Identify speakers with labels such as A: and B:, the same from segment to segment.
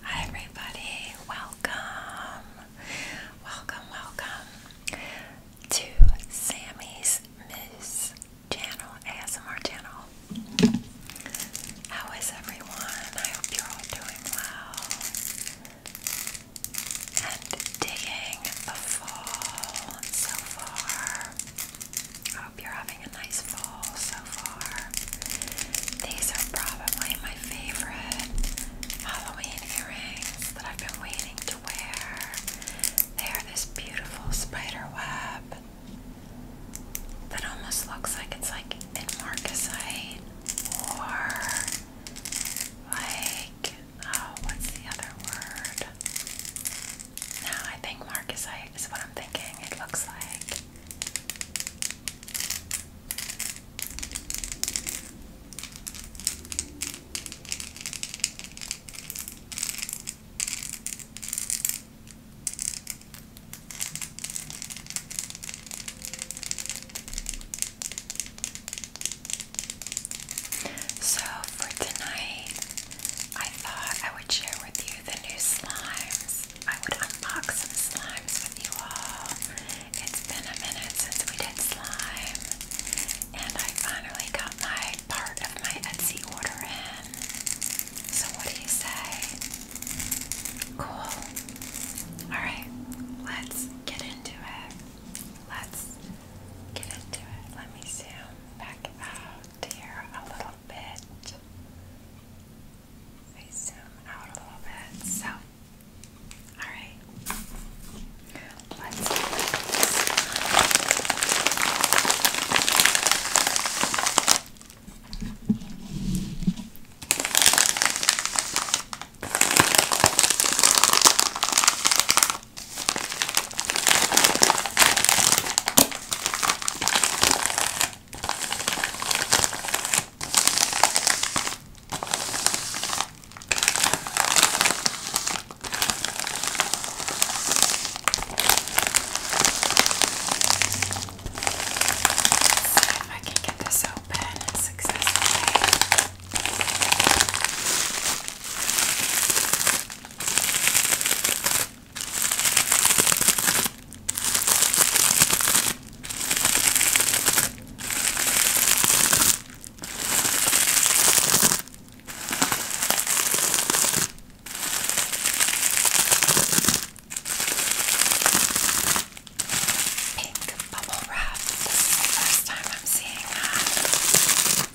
A: Hi everybody, welcome, welcome, welcome to Sammy's Moose channel, ASMR channel. How is everyone? I hope you're all doing well and digging the fall so far you're having a nice fall so far. These are probably my favorite Halloween earrings that I've been waiting to wear. They are this beautiful spider web that almost looks like it's like in or like oh what's the other word? No, I think marcasite is what I'm thinking it looks like. So, for tonight, I thought I would share with you the new slimes. I would unbox some slimes with you all. It's been a minute since we did slime, and I finally got my part of my Etsy order in. So, what do you say? Cool. Alright, let's get into it. Let's get into it. Let me zoom back out here a little bit. I zoom out a little bit. So, alright. Let's do this if I can get this open successfully. Pink bubble wrap. This is the first time I'm seeing that. I've never seen that.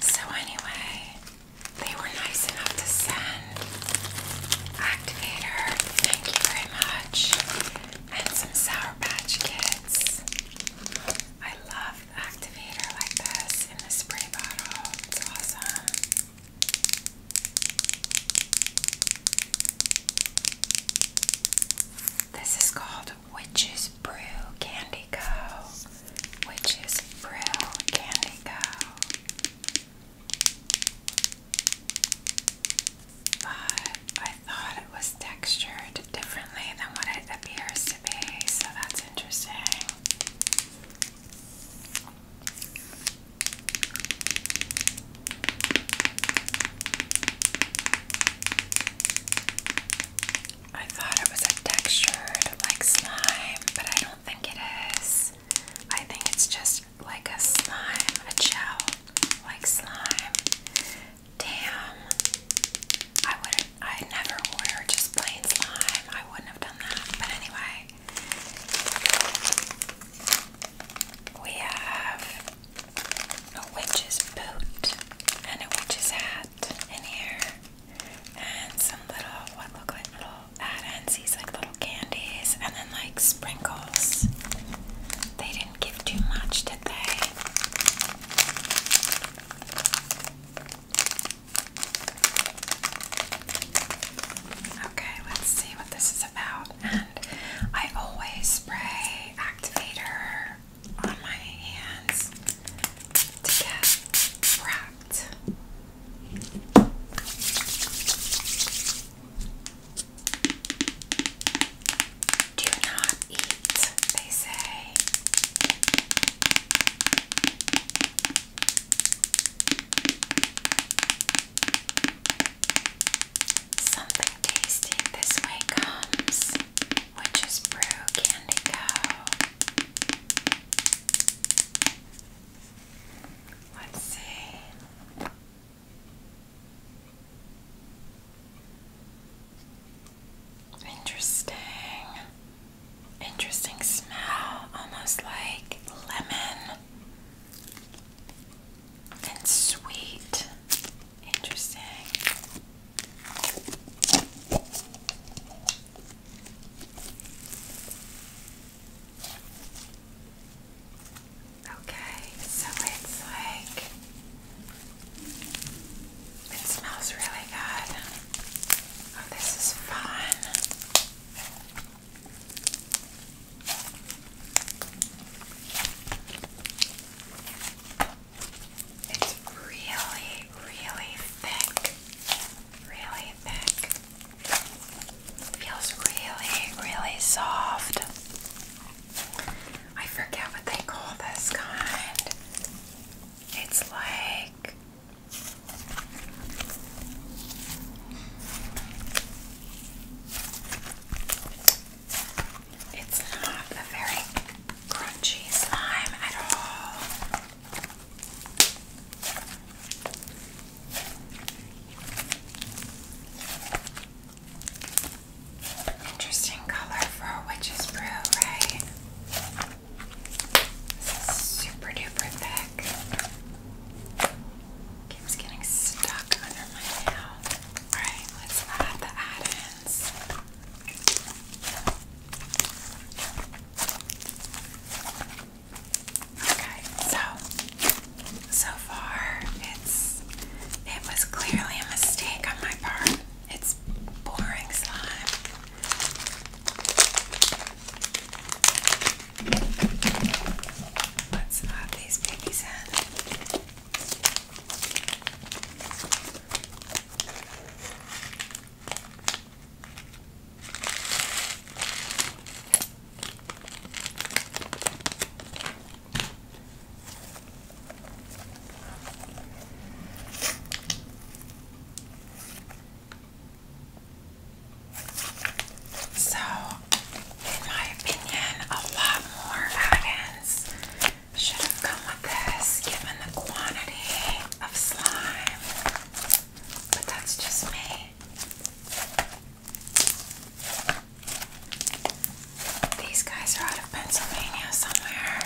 A: So, anyway, they were nice enough to send activator, thank you very much, and some Sour Patch Kids. I love activator like this in the spray bottle, it's awesome. This is called Witch's Brew Candy Co. Witch's Brew Candy Co. But I thought it was textured differently than what it appears to be, so that's interesting. I thought it was a textured like slime, but I don't think it is. I think it's just like a slime, a gel like slime. Damn. I would I never order just plain slime. I wouldn't have done that. But anyway, we have a witch's boot and a witch's hat in here. And some little, what look like little add like little candies, and then like sprinkles. They didn't give too much, did they? Okay, let's see what this is about and I always spray activator on my hands to get cracked. Do not eat, they say. Something tasty this way comes, which is brew candy cow. Let's see. Interesting. Interesting smell, almost like lemon and sweet. Interesting. Okay, so it's like it smells really good. Oh, this is fun. It's really, really thick. Really thick. Feels really, really soft. I forget what they call this kind. It's like it's not a very crunchy slime at all. Interesting color for a witch's brew, right? This is super duper thick. Keeps getting stuck under my nail. Alright, let's add the add-ins. Okay, so so far it's it was clearly a mistake on my part. It's boring slime. Let's add these babies in. So, in my opinion, a lot more add should have come with this, given the quantity of slime. But that's just me. These guys are out of Pennsylvania somewhere.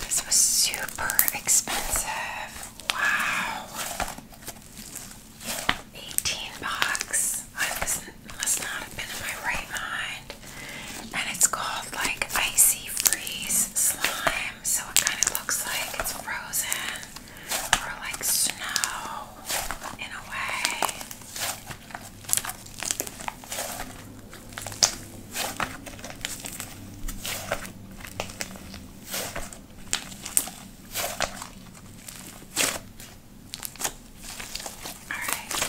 A: This was super expensive. Wow. 18 bucks. I was, must not have been in my right mind. And it's called like Icy Freeze Slime. So it kind of looks like it's frozen or like snow in a way. Alright,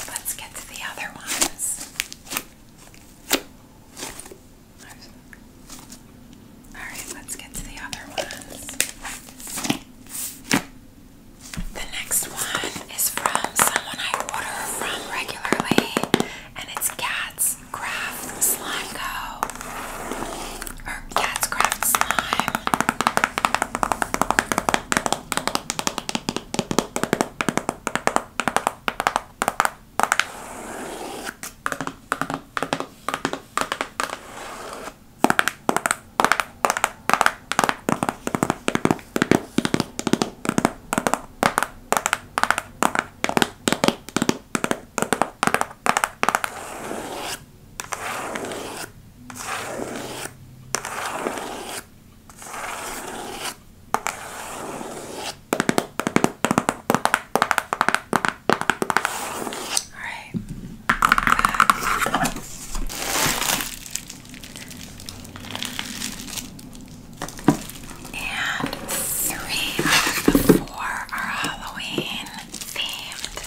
A: let's get to the other ones. Alright, let's get to the other ones. The next one is from someone I order from regularly, and it's Cat's Craft Slime Go. Or Cat's Craft Slime. All right. Back. And three out of the four are Halloween themed.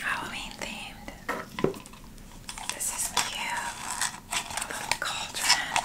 A: Halloween themed. This is cute. A little cauldron.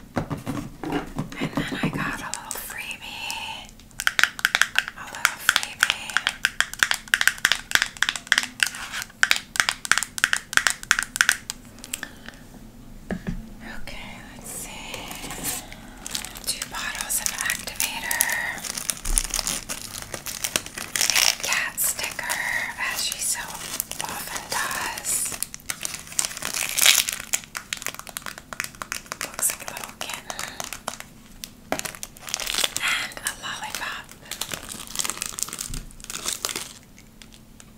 A: And then I got a little freebie. A little freebie. Okay, let's see. Two bottles of activator. cat sticker, as she so often does. Looks like a little kitten. And a lollipop.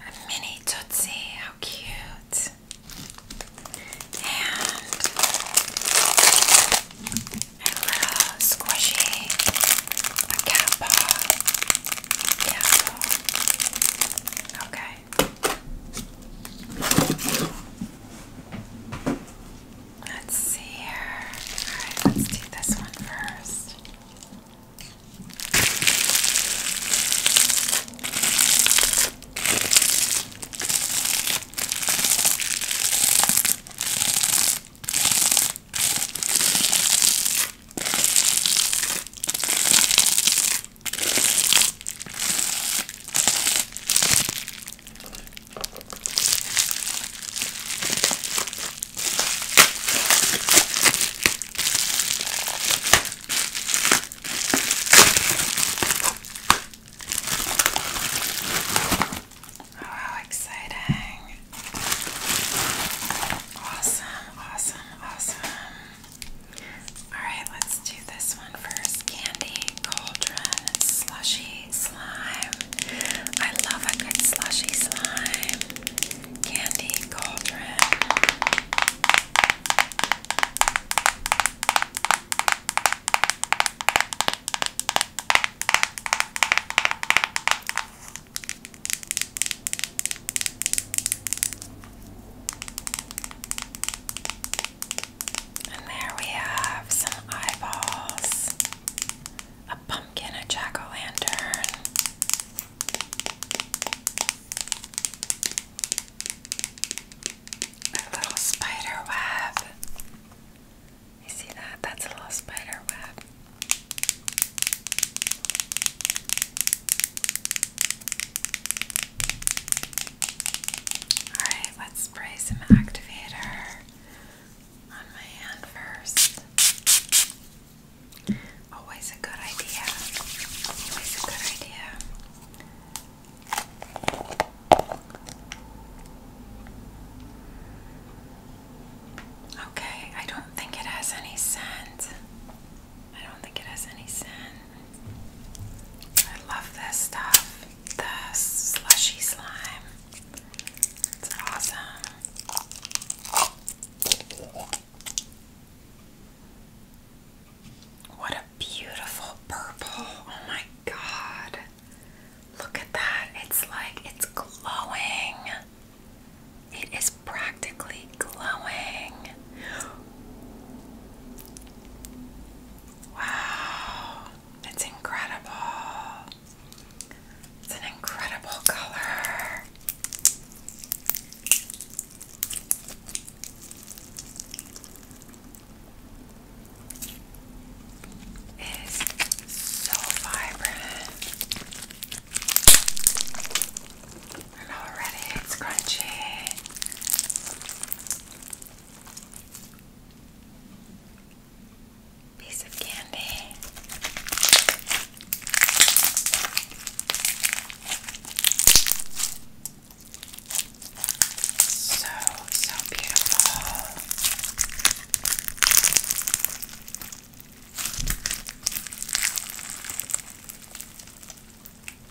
A: A mini Tootsie, how cute. And a little squishy, a cat paw. Okay. Okay. Let's see here. Alright, let's do this one first. Oh, how exciting! Awesome, awesome, awesome. Alright, let's do this one first. Candy, cauldron, slushy, slime. I love a good slushy slime. Candy, cauldron. And there we have some eyeballs, a pumpkin, a jack o' lantern. A little spider web. You see that? That's a little spider web. Alright, let's spray some activator on my hand first. Always a good idea. Always a good idea. Okay, I don't think it has any scent. I don't think it has any scent. I love this stuff. The slushy slime. It's awesome. What a beautiful purple. Oh my god. Look at that. It's like it's glowing. It is practically glowing. Wow, it's incredible. It's an incredible color. It is so vibrant. I know already it's crunchy. Piece of candy. So, so beautiful.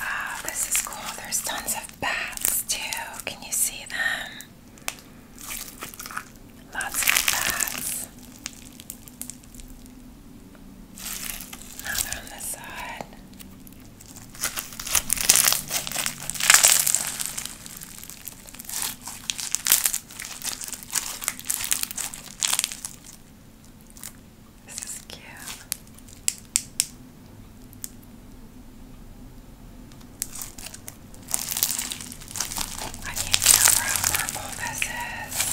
A: Oh, this is cool. There's tons of bats too. Can you see them? Lots of bats. Another on the side. This is cute. I need to know how purple this is.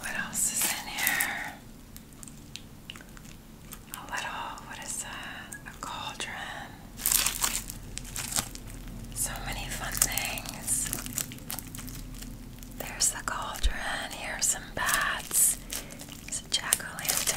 A: What else is in here? A little, what is that? A cauldron. So many fun things. There's the cauldron. Here's some bats. It's a jack o' lantern.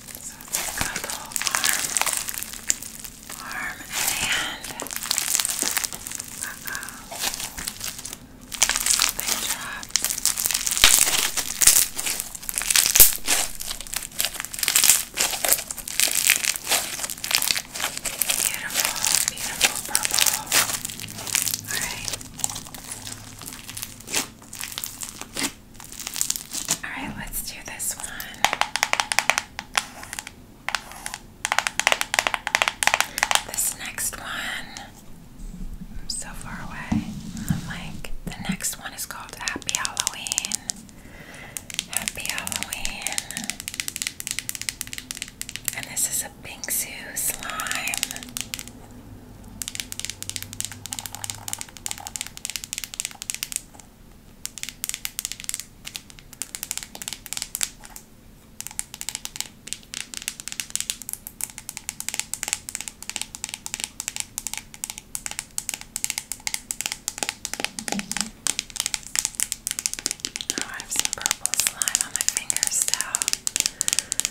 A: So it's got a little arm, arm and hand. Uh-oh. Big drop. Beautiful, beautiful purple. Alright. All right, let's do this one. This next one, I'm so far away from the mic. The next one is called Happy Halloween. Happy Halloween. And this is a Bingsu slime. Now oh, I have some purple slime on my fingers now.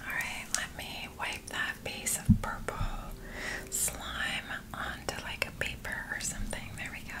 A: Alright, let me wipe that piece of purple slime onto like a paper or something. There we go.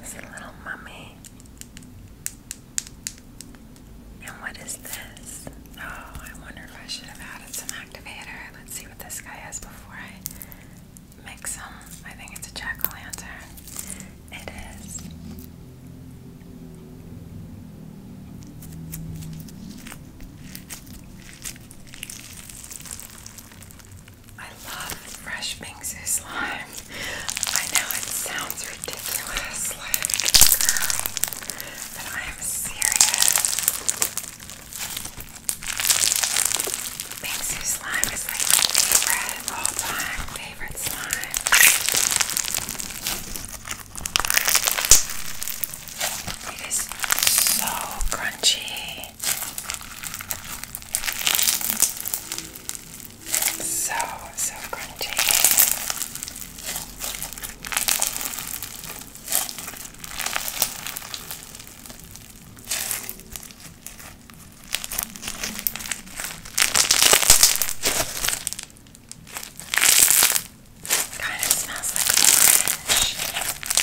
A: It's a little mummy. And what is this? Oh, I wonder if I should have added some activator. Let's see what this guy has before I mix them. I think it's a jack o' lantern. It is. I love fresh Bingsu slime. I know it sounds ridiculous, like, girl, but I am serious. Bingsu slime is like my favorite, all time favorite slime. It is so crunchy. So, so crunchy. Kind of smells like orange.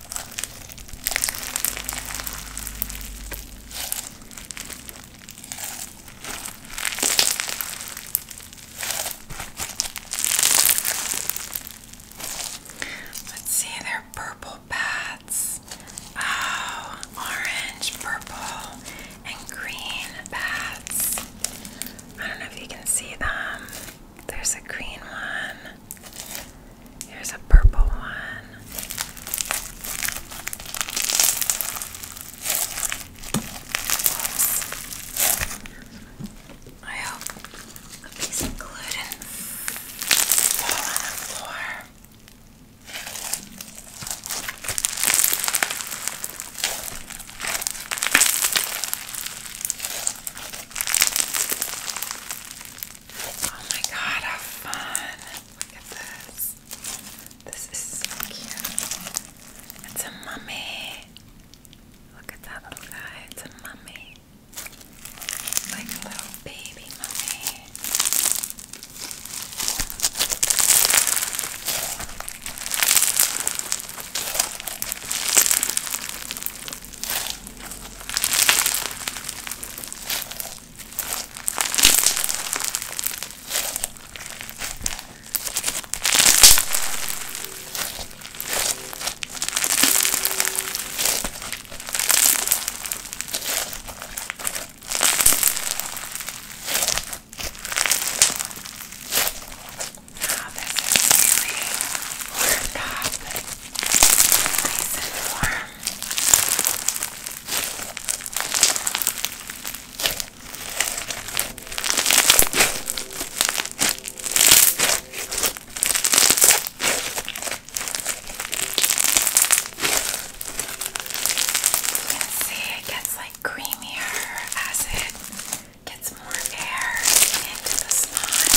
A: Let's see, they're purple bats. Oh, orange, purple, and green bats. I don't know if you can see them. There's a green one. Here's a purple one. I hope a piece of glue did on the floor. Oh my god, how fun! Look at this. This is so cute. It's a mummy. Look at that little guy. It's a mummy. Like a little baby mummy. Now this is really worked up nice and warm. You can see it gets like creamier as it gets more air into the slime.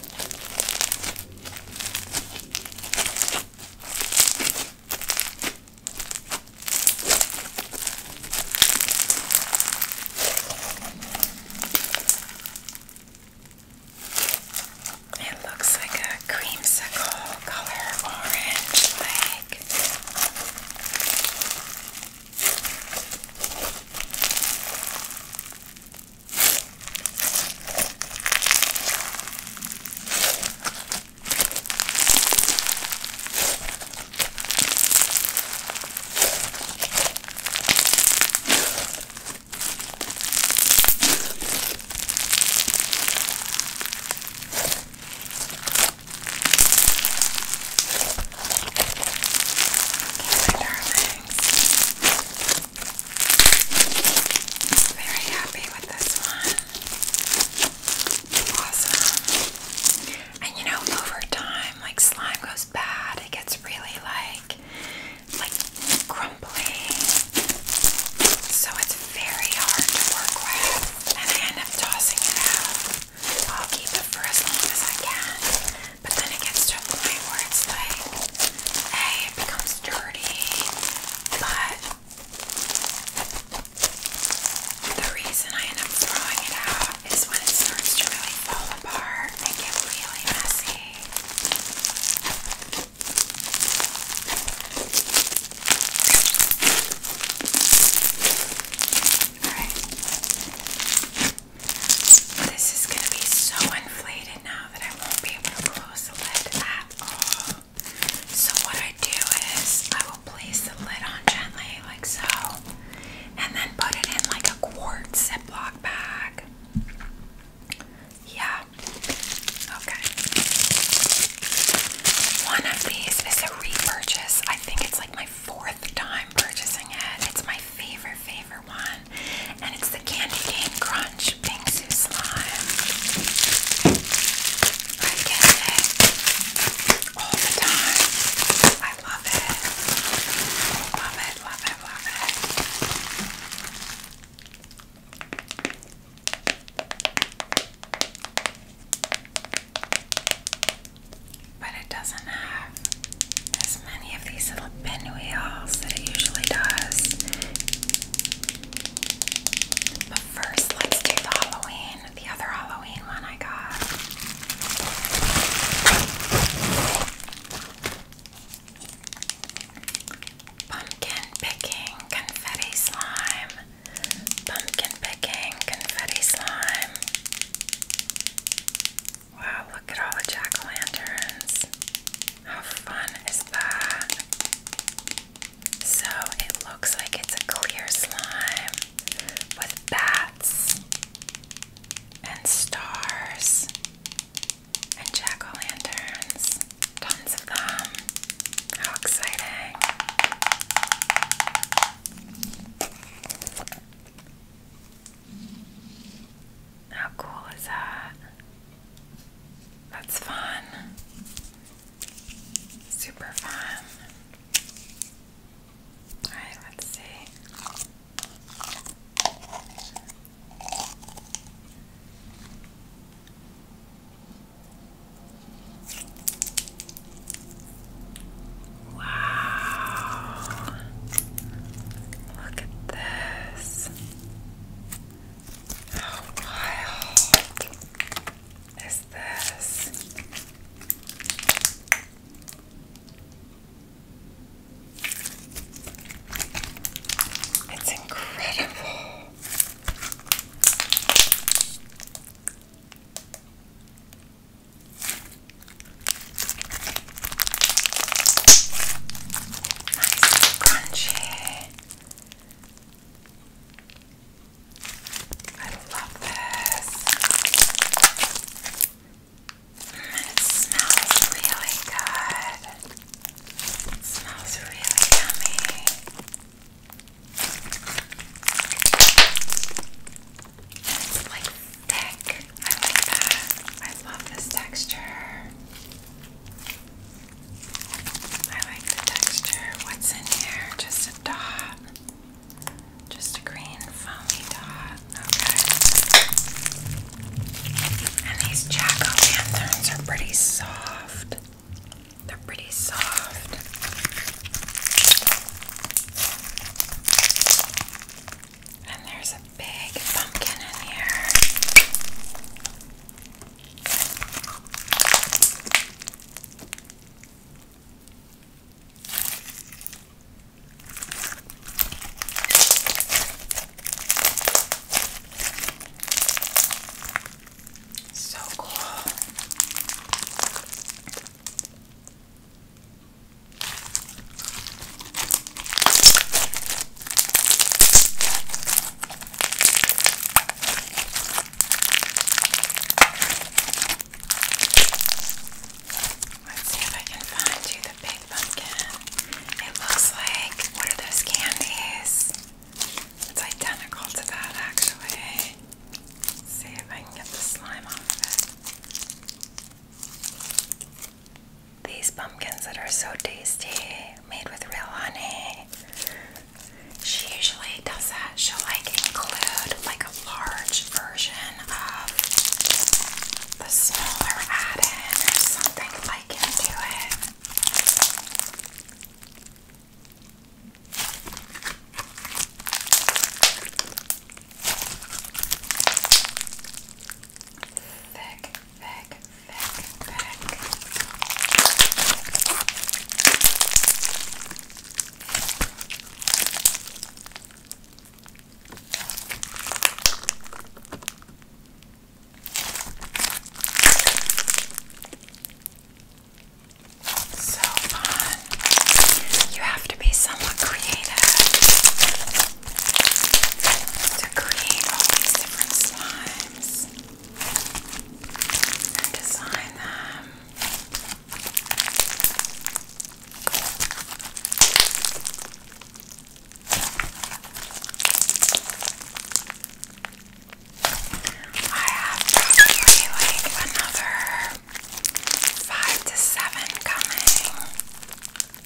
A: It looks like a creamsicle color orange like. Okay, my darlings. Very happy with this one. Awesome. And you know, over time, like slime goes bad. It gets really like, like crumbly. So it's very hard to work with, and I end up tossing it out. I'll keep it for as long as I can. But then it gets to a point where it's like, hey, it becomes dirty, but the reason I end up throwing it out is when it starts to really fall apart and get really messy. Alright. This is going to be so inflated now that I won't be able to close the lid at all. So what I do is I will place the lid on gently like so and then put it in like a quartz Ziploc bag. Yeah. Okay. One of these is a repurchase. I think it's like my fourth time purchasing it. It's my favorite, favorite one and it's the Candy Cane Crunch Bingsu Slime. I get it all the time. I love it. Love it, love it, love it. But it doesn't have many of these little pinwheels that it usually does. But first, let's do the Halloween, the other Halloween one I got. Pumpkin picking confetti slime. Pumpkin picking confetti slime. Wow, look at all the jack o' lanterns. How fun is that? So it looks like it's a clear slime with bats and stars and jack o' lanterns. Tons of them. How exciting! How cool is that? That's fun. Super fun. Alright, let's see. Wow. Look at this. How wild is this? It's incredible. Nice crunchy. I love this. It smells really good. smells really yummy. it's like thick. I like that. I love this texture. I like the texture. What's in here? Just a dot. Just a green foamy dot. Okay. And these jack-o'-lanterns are pretty soft. They're pretty soft. And there's a big pumpkin in here. So cool. Let's see if I can find you the big pumpkin. It looks like what are those candies? It's identical to that actually. Let's see if I can get the slime off of it. These pumpkins that are so tasty, made with real honey. She usually does that. She'll like include like a large version of the smaller add-in or something like into it. Thick Back, back, back. So fun. You have to be somewhat creative to create all these different slimes and design them. I have probably like another five to seven coming.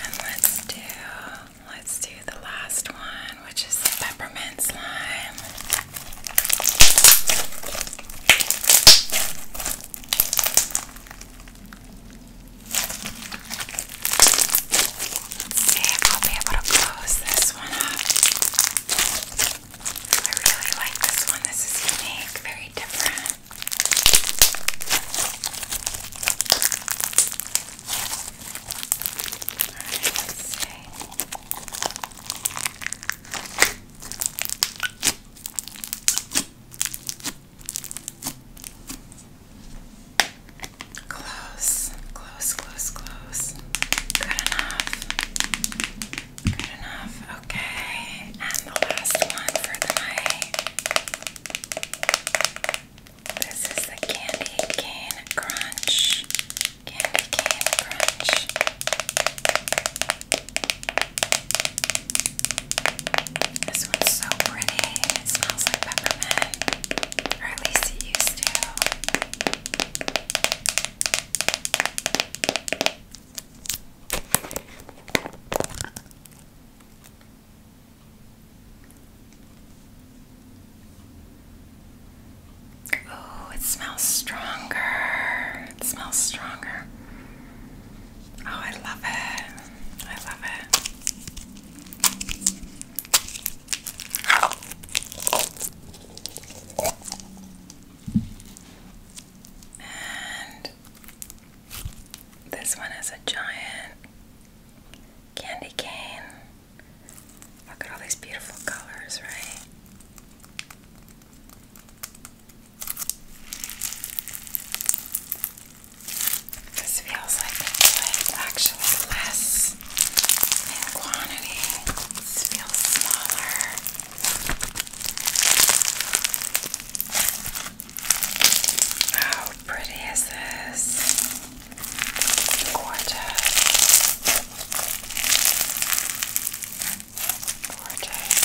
A: Alright, and let's do let's do the last one, which is the peppermint slime. Let's see if I'll be able to close this one up. I really like this one. This is unique, very different. Alright, let's see. Close, close, close, close. Good enough. Good enough. Okay. And the last one for the night. This is the candy cane crunch. Candy cane crunch. This one's so pretty. It smells like peppermint. Or at least it used to. Oh, it smells stronger. It smells stronger. Oh, I love it. I love it. And this one is a giant candy cane. Look at all these beautiful colors, right? This feels like it's like actually less this feels smaller. How pretty is this? Gorgeous. Gorgeous.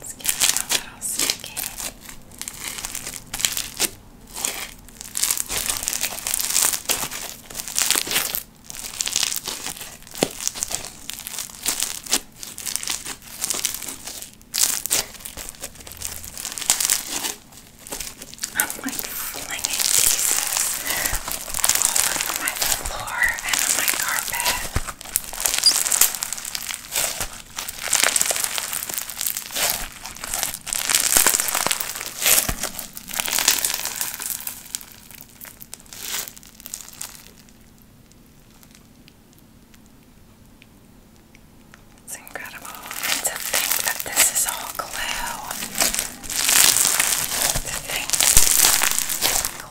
A: Let's give it a little second. I'm like flinging pieces all over my floor and on my carpet. It's incredible and to think that this is all glue. To think glue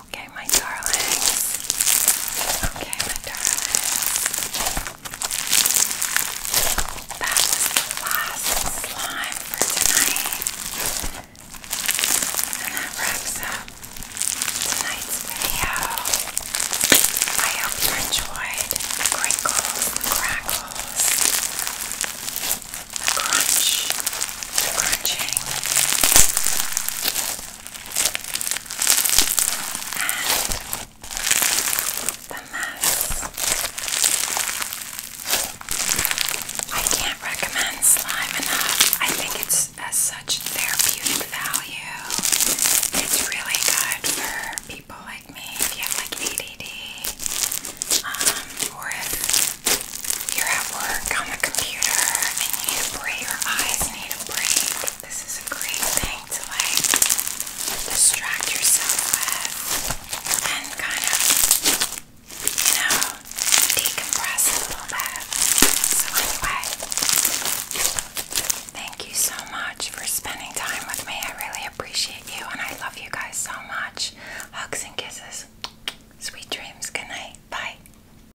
A: Okay, my darlings. Okay, my darlings. That last slime for tonight. And that wraps up tonight's video. I hope you enjoyed the crackles, crunch, crunching the mouse. I can't recommend slime enough. I think it's has uh, such therapeutic value. It's really good for people like me if you have like ADD, um, or if you're at work on the computer and you need your eyes this is a great thing to like distract yourself with and kind of, you know, decompress a little bit. So, anyway, thank you so much for spending time with me. I really appreciate you and I love you guys so much. Hugs and kisses. Sweet dreams. Good night. Bye.